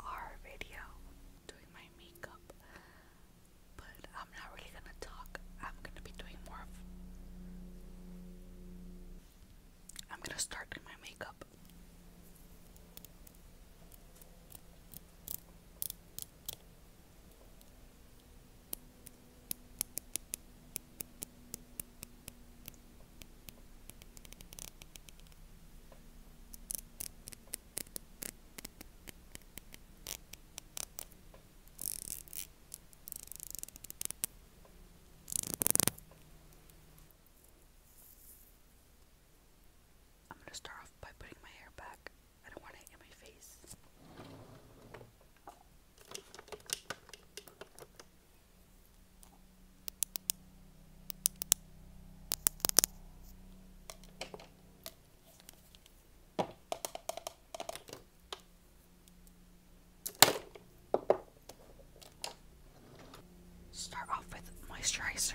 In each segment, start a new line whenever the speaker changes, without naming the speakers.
um, video doing my makeup, but I'm not really gonna talk. I'm gonna be doing more I'm gonna start doing my makeup. I'm going to start off by putting my hair back. I don't want it in my face. Start off with moisturizer.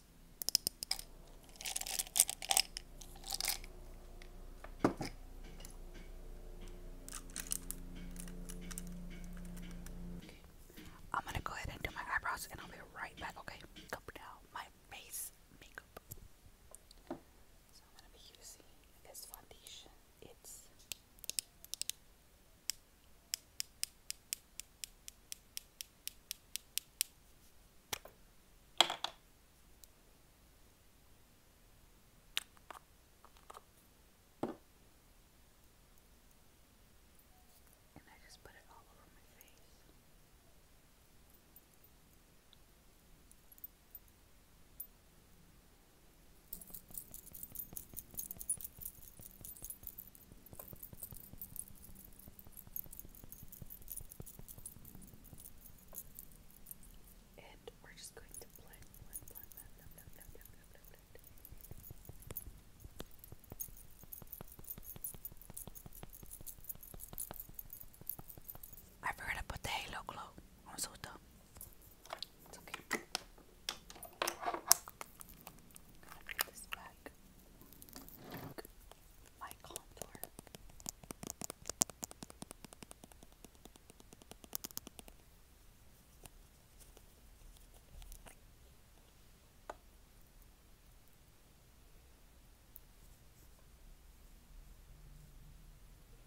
I'm gonna go ahead and do my eyebrows and I'll be right back, okay? Cover my face makeup. So I'm gonna be using this foundation. It's and I just put it all over my face. And we're just going to blend, blend, blend, blend, blend, blend, blend, blend, I forgot to put the halo glow. I'm so dumb. It's okay. put this back my contour.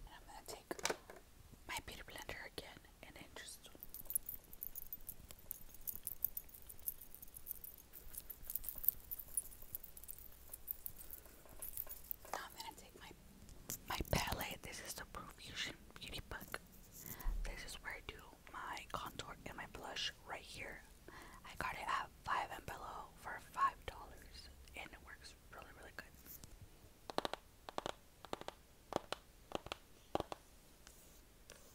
I'm going to take my beauty blender again and then just now I'm gonna take my my palette. This is the Profusion Beauty Book. This is where I do my contour and my blush right here. I got it at Five and Below for five dollars, and it works really, really good.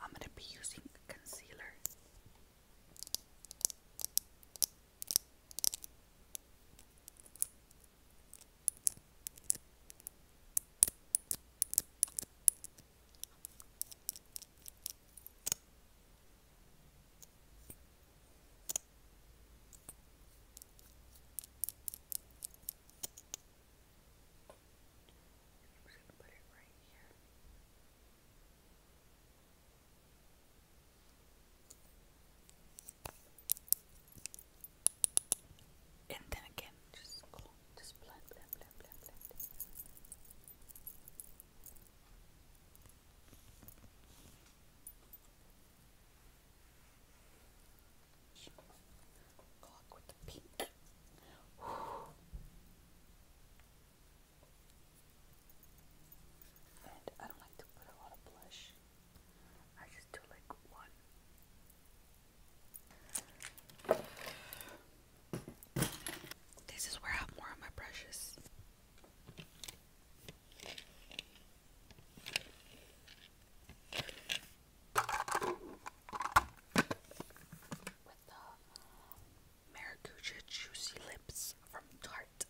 I'm going to be using concealer. I'm And then again, just blend, blend, blend, blend, blend. Clock with the pink. And I don't like to put a lot of blush. I just do like one. This is where I have more of my brushes. With Juicy Lips from Tarte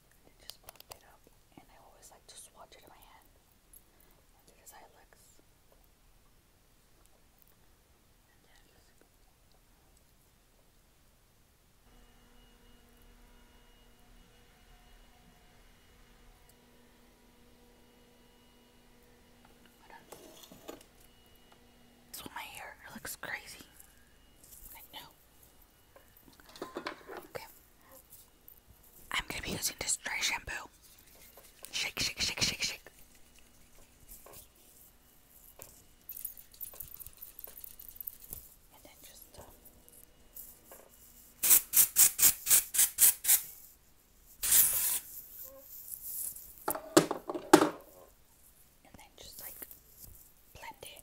and just popped it up. And I always like to swatch it in my hand and do this eyelets. And then my hair it looks crazy. I know. Okay. I'm gonna be using this dry shampoo. Shake, shake, shake, shake, shake. And then just. Uh, and then just like blend it.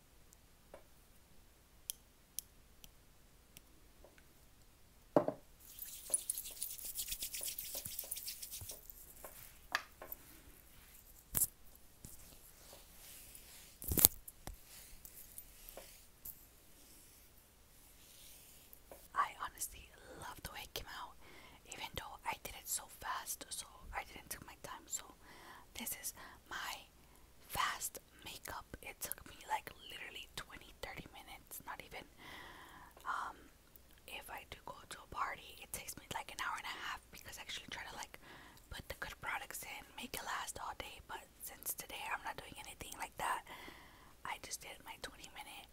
I honestly love the way it came out, even though I did it so fast, so I didn't take my time. So, this is my fast makeup. It took me like literally 20 30 minutes, not even. Um, if I do go to a party, it takes me like an hour and a half because I actually try to like put the good products in, make it last all day. But since today I'm not doing anything like that, I just did my 20 minute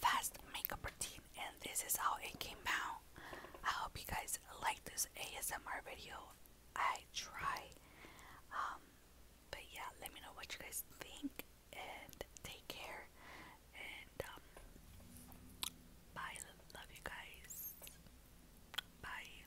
fast makeup routine, and this is how it came out. I hope you guys like this ASMR video. I try. Um, but yeah, let me know what you guys think and take care. And um, bye. Love you guys. Bye.